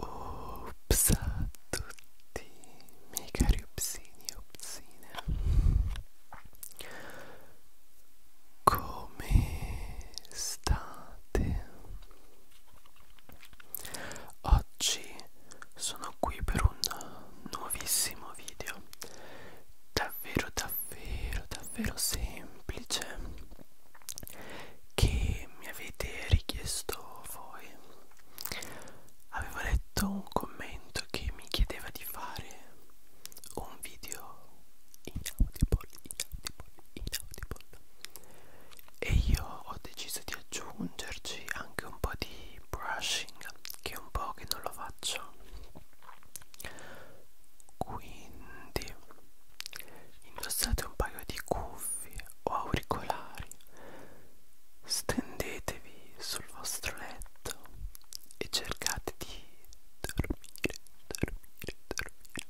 Ops a tutti, miei cari opsini e opsine. Come state? Oggi sono qui per un nuovissimo video davvero davvero davvero semplice che mi avete richiesto voi. Avevo letto un commento che mi chiedeva di fare un video in audible, in audible, in audible volta e io ho deciso di aggiungerci anche un po' di brushing che è un po' che non lo faccio quindi indossate un paio di cuffie o auricolari stendetevi sul vostro letto e cercate di dormire dormire dormire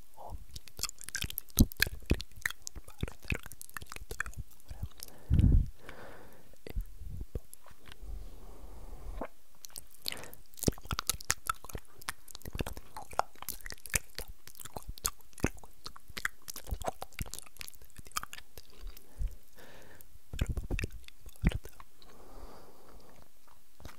ogni domenica di tutte le verifiche urbane e ragazzini che dovevo fare e poi effettivamente però va bene, non importa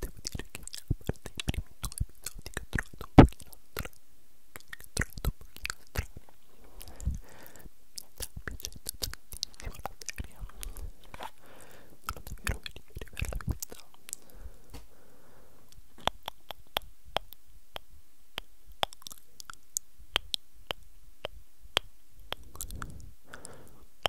Devo dire che a parte i primi due episodi che ho trovato un pochino strani, che ho trovato un pochino strani, mi sta piacendo tantissimo la serie. Sono davvero felice per la vita.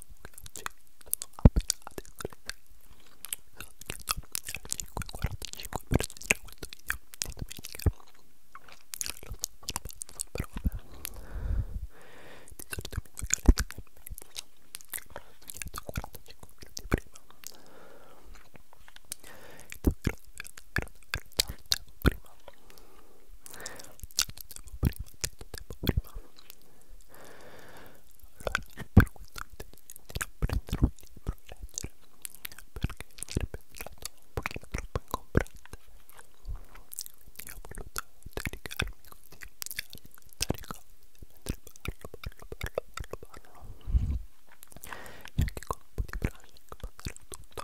comunque oggi sono appena adesso le 6 sono chiesto alle 5.45 per sentire questo video di domenica lo so, sono pazzo, però vabbè di solito mi tocca alle 3 e mezza me l'ho chiesto 45 minuti prima davvero davvero davvero tanto tempo prima prima allora per questo video di non prendere un libro a leggere perché sarebbe stato un pochino troppo ingombrante quindi ho voluto dedicarmi così alle cose mentre parlo parlo parlo parlo parlo e anche con un po' di brushing passare tutto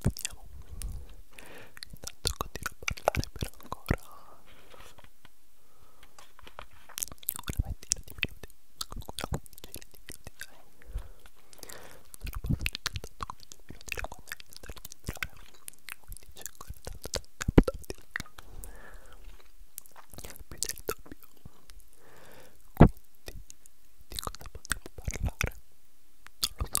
vediamo intanto continuo a parlare per ancora una ventina di minuti una quindicina di minuti dai sono passati intanto 15 minuti da quando ho iniziato a registrare quindi c'è ancora tanto tempo da dire più del doppio quindi di cosa potremmo parlare? Non lo so,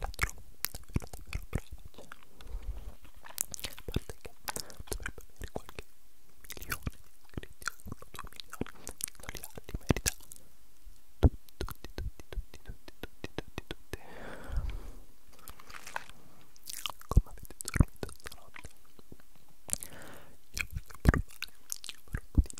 la trovo davvero davvero brava a parte che dovrebbe avere qualche milione di iscritti o uno o due milioni non li ha, li merita tutti, tutti, tutti, tutti, tutti, tutti, tutti come avete dormito stanotte? io voglio provare un po' di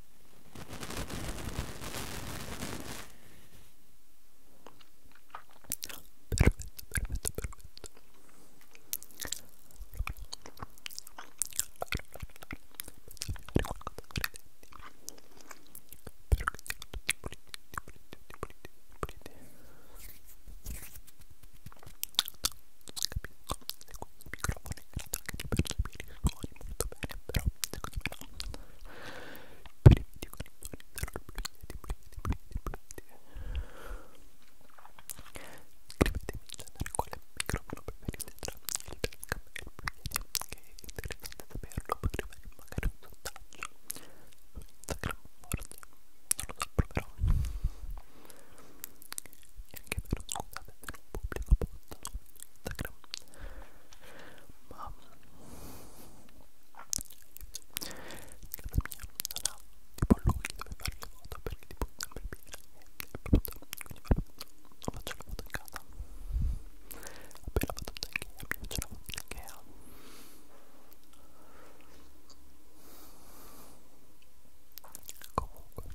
Perfetto, perfetto, perfetto. Allora, bene, grazie anche per sapere i suoni molto bene, però secondo me no. Per i video con i suoni sarò brillati, brillati, brillati, Scrivetemi in genere quale microfono preferite tra il Telegram e il Brillati, che è interessante saperlo, potrei fare magari un sondaggio su Instagram, forse, non lo so, proverò. E anche per scusate se non pubblico post su Instagram ma casa mia non ha tipo luoghi dove fare le foto perché tipo è sempre piena e brutta quindi vabbè non faccio le foto in casa appena vado in Ikea mi faccio la foto in Ikea comunque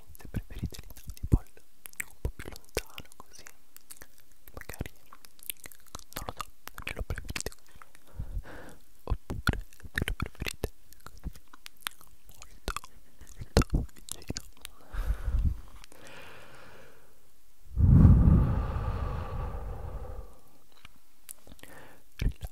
veramente preferite l'Inaudible un po' più lontano così magari non lo so se lo preferite così oppure se lo preferite così molto molto vicino rilassati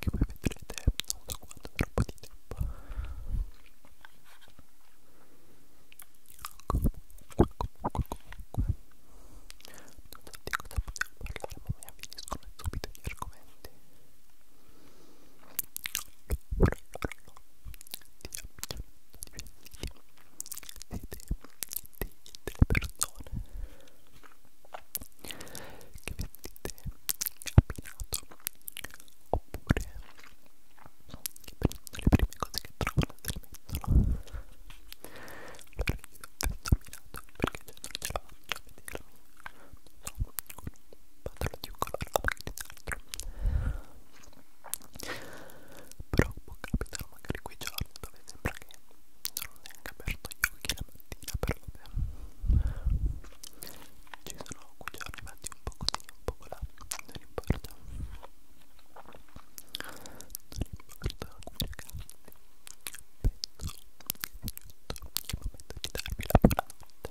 che voi vedrete non so quanto troppo di tempo comunque comunque comunque non so di cosa potevo parlare ma mi avviniscono subito gli argomenti l'ora l'ora di abbigliamento diversi siete delle persone che vestite abbinato oppure che prendono le prime cose che trovano e le mettono allora io vesto abbinato perché cioè, non ce la faccio a vedermi non so, con un pantalone di un colore o anche di un altro però può capitare magari quei giorni dove sembra che non ho neanche aperto gli occhi la mattina però vabbè ci sono cuccioli fatti un po' così un po' là non importa non importa come cazzo penso che è il momento di darmi la buonanotte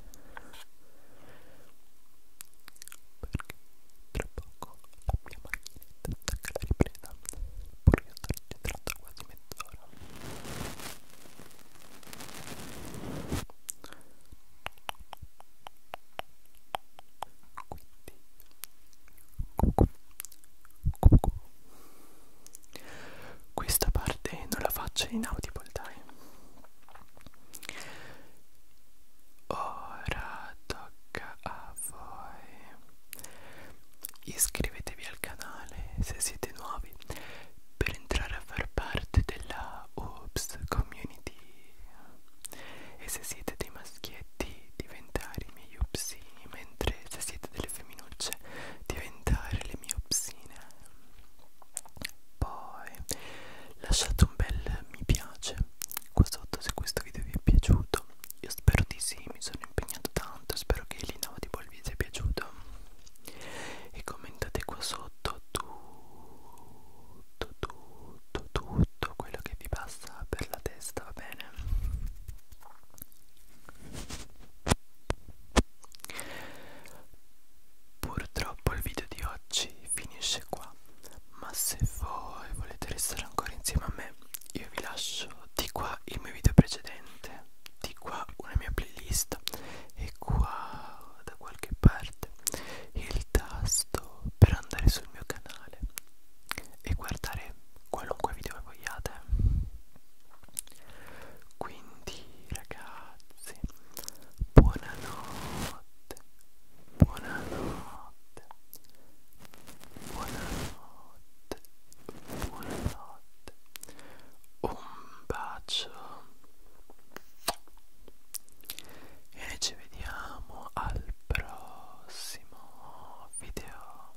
perché tra poco la mia macchinetta attacca la ripresa pur io sto registrando quasi mezz'ora ancora quindi cucù, cucù. questa parte non la faccio in audible dai ora tocca a voi Iscrivetevi al canale se siete nuovi per entrare a far parte della Oops Community e se siete dei maschietti diventare i miei upsini mentre se siete delle femminucce diventare le mie upsine poi lasciate un bel mi piace qua sotto se questo video vi è piaciuto no? Io spero di sì, mi sono impegnato tanto, spero che l'inaudible il video sia piaciuto e commentate qua sotto tutto, tutto, tutto quello che vi passa per la testa, va bene? Purtroppo il video di oggi finisce qua, ma se voi volete restare ancora insieme a me io vi lascio di qua il mio video precedente di qua una mia playlist e qua da qualche parte il tasto per andare sul mio canale e guardare qualunque video vogliate quindi ragazzi buonanotte buonanotte buonanotte buonanotte, buonanotte, un bacio e ci vediamo al prossimo video.